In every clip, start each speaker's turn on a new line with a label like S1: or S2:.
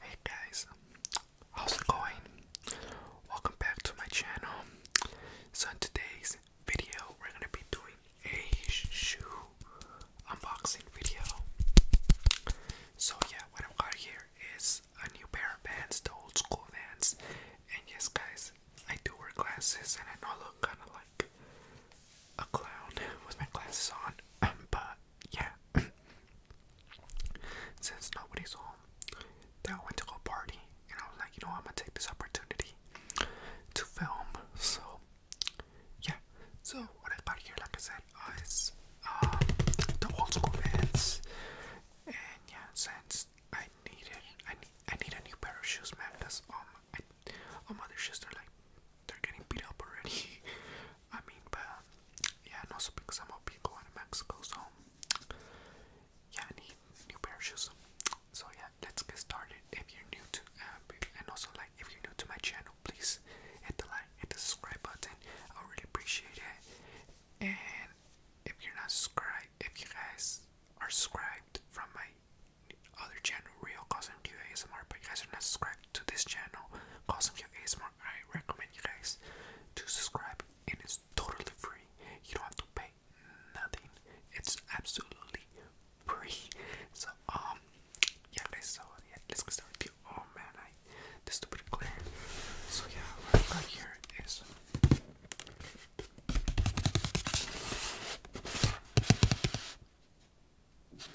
S1: Hey guys, how's it going? Welcome back to my channel. So in today's video, we're gonna be doing a shoe unboxing video. So yeah, what I've got here is a new pair of Vans, the old school Vans. And yes guys, I do wear glasses and I know I look kinda like a clown with my glasses on, but yeah. Since nobody's home, that all went to go party, and I was like, you know, I'm gonna take this opportunity to film. So, yeah. So what I got here, like I said, uh, is um, the old school pants, and yeah, since I needed, I need, I need a new pair of shoes, man. Cause um, I, all um, my mother's shoes they're like they're getting beat up already. I mean, but yeah, also because I'm up going to Mexico, so yeah, need new pair of shoes. So yeah, let's get started. If you're new to, um, and also like if you're new to my channel, please hit the like, hit the subscribe button. I really appreciate it. And if you're not subscribed, if you guys are subscribed from my other channel, Real Cosm Q ASMR, but you guys are not subscribed to this channel, Cosm Q ASMR. I recommend you guys to subscribe, and it's totally free. You don't have to pay nothing. It's absolutely free. So um, yeah, let's get started. With you. Oh man, I this stupid glare. So yeah, right, right here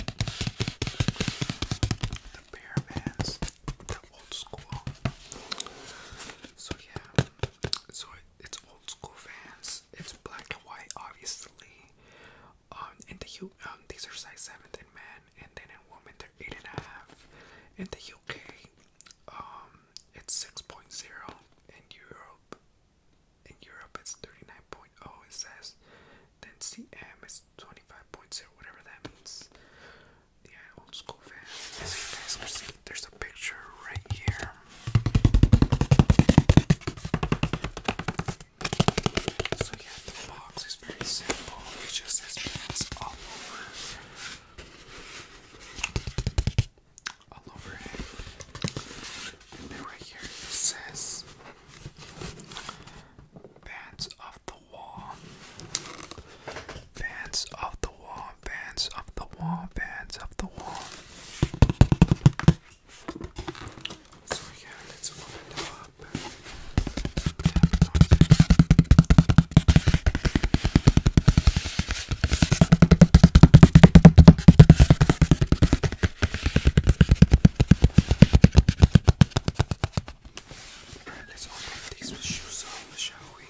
S1: the bear bands, the old school. So yeah, so it's old school fans. It's black and white, obviously. Um, in the U, um, these are size seventh in men, and then in women they're eight and a half. In the UK, um, it's six point zero. In Europe, in Europe, it's 39.0, it says. Then CM is 25.0, whatever that means. Yeah, old school fan. there's a picture right here. So, yeah, the box is very simple. just says pants all over all over it. And right here it says bands of the wall. Bands of the wall, bands of the wall, bands of the wall. So yeah, let's open it up let's open these shoes on, shall we?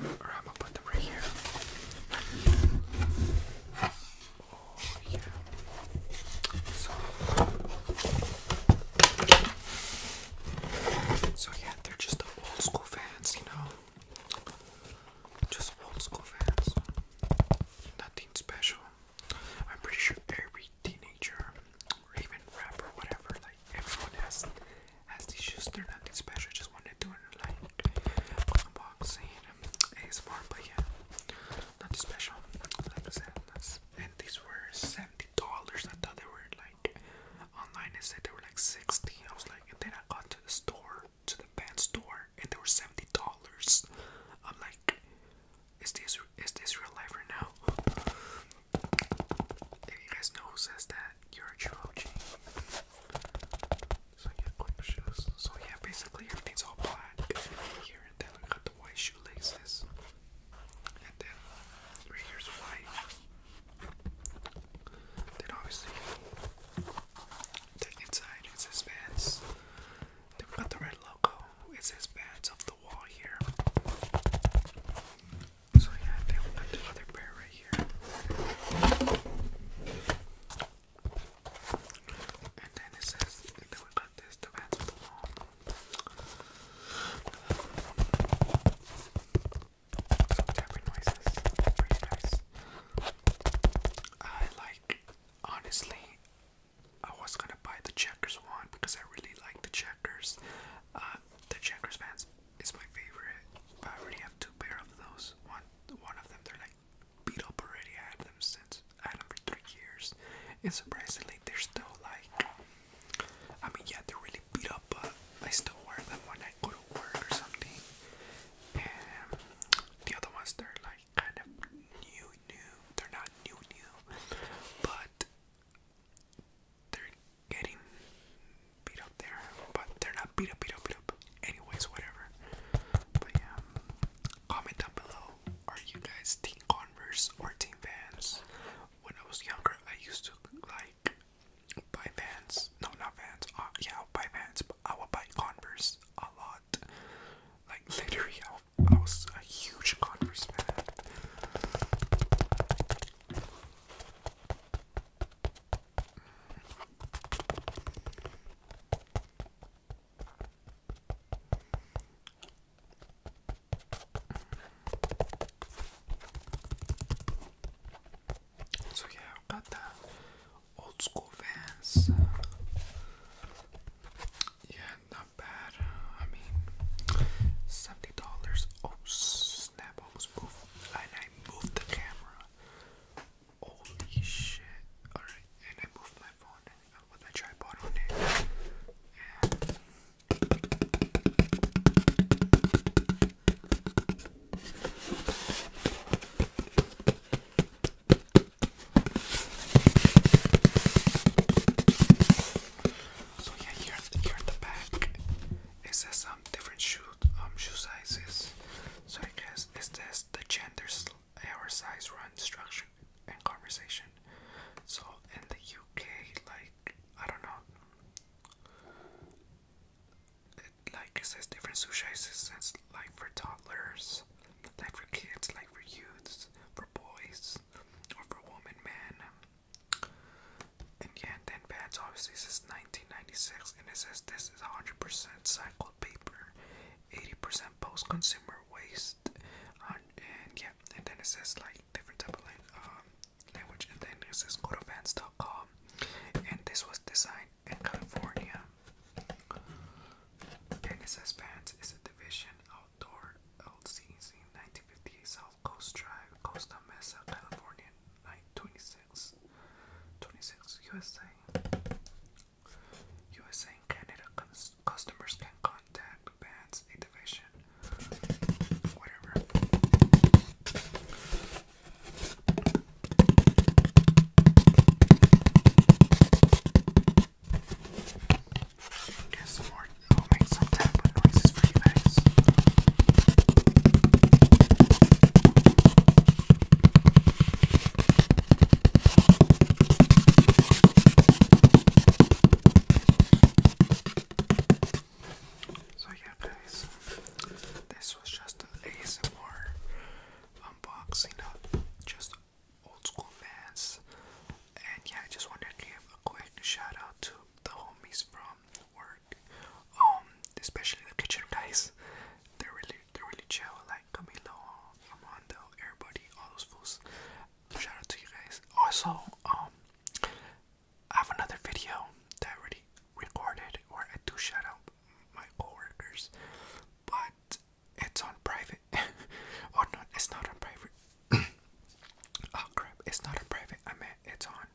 S1: I'm gonna put them right here. Oh, so, yeah, they're just old school fans, you know. Just old school fans. Nothing special. I'm pretty sure every teenager or even rapper, whatever, like everyone has has these shoes. They're nothing special. Just wanted to do it like unboxing, ASMR, but yeah, nothing special. and these were seventy dollars. I thought they were like online. It said they were like sixty. I was like, and then I got to the store to the band store and they were seventy dollars. I'm like, is this is this real life right now? If you guys know who says that, you're a true OG. So yeah, quick shoes. So yeah, basically everything's all black here, and then we got the white shoelaces, and then right here's white. Then obviously the inside is his Then we got the red logo. It says Vans off the wall here. So yeah, then we got the right here. And then it says, and then we got this, the the wall some tapping noises. Pretty nice. I like, honestly, I was gonna buy the Checkers one because I really like the Checkers. Uh, the Checkers pants is my favorite. I already have two pair of those. One, one of them, they're like beat up already. I had them since I had them for three years, and surprisingly, they're still like. I mean, yeah, they're really beat up, but I still wear them when I go to work or something. And the other ones, they're like kind of new, new. They're not new, new, but they're getting beat up there. But they're not beat up, beat up, beat up. Anyways, whatever. But yeah, um, comment down below. Are you guys team Converse or team Vans? When I was younger, I used to like buy Vans. No, not Vans. Uh, yeah, I'll buy Vans, but I would buy Converse a lot. Like literally, I, was a huge Converse fan. So yeah, i got the old school Vans. Yeah, not bad. I mean, seventy dollars. Oh snap! I moved, and I moved the camera. Holy shit! All right, and I moved my phone I put my tripod on it. And so yeah, here, here in the back, it says some different shoe, um, shoe sizes. So I guess it says the genders, our size, run, structure, and conversation. So in the UK, like like I don't know. It, like it says different sushi is like for toddlers, like for kids, like for youths, for boys, or for women, men. And yeah, and then pads obviously says 1996, and it says this is 100% cycled paper, 80% post-consumer waste, and yeah, and then it says like different type of um, language. And then it says go to Vans.com, and this was designed in California. And it says Vans is a division outdoor LCC, 1958 South Coast Drive, Costa Mesa, California, 926, 26 USA. USA and Canada customers can contact bats, a division, whatever. Get some more. I'll make some tapping noises for you guys. So yeah guys, this was just an ASMR unboxing of just old school fans. And yeah, I just wanted to give a quick shout out to the homies from work. Um, especially the kitchen guys. They're really they're really chill, like Camilo, Armando, everybody, all those fools. Shout out to you guys. Also, um, I have another video that already recorded where I do shout out my coworkers, but it's on private. oh no, it's not on private. oh crap, it's not on private. I meant it's on.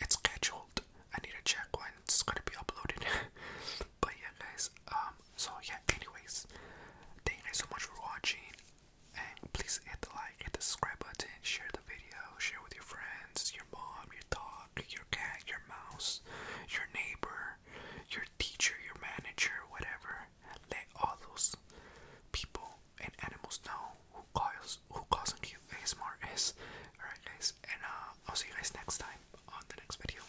S1: It's scheduled. I need to check when it's gonna be uploaded. but yeah, guys. Um, so yeah anyways thank you so much for watching and please hit the like hit the subscribe button share the video share with your friends your mom your dog your cat your mouse your neighbor your teacher your manager whatever let all those people and animals know who cause who causing is alright guys and uh, I'll see you guys next time on the next video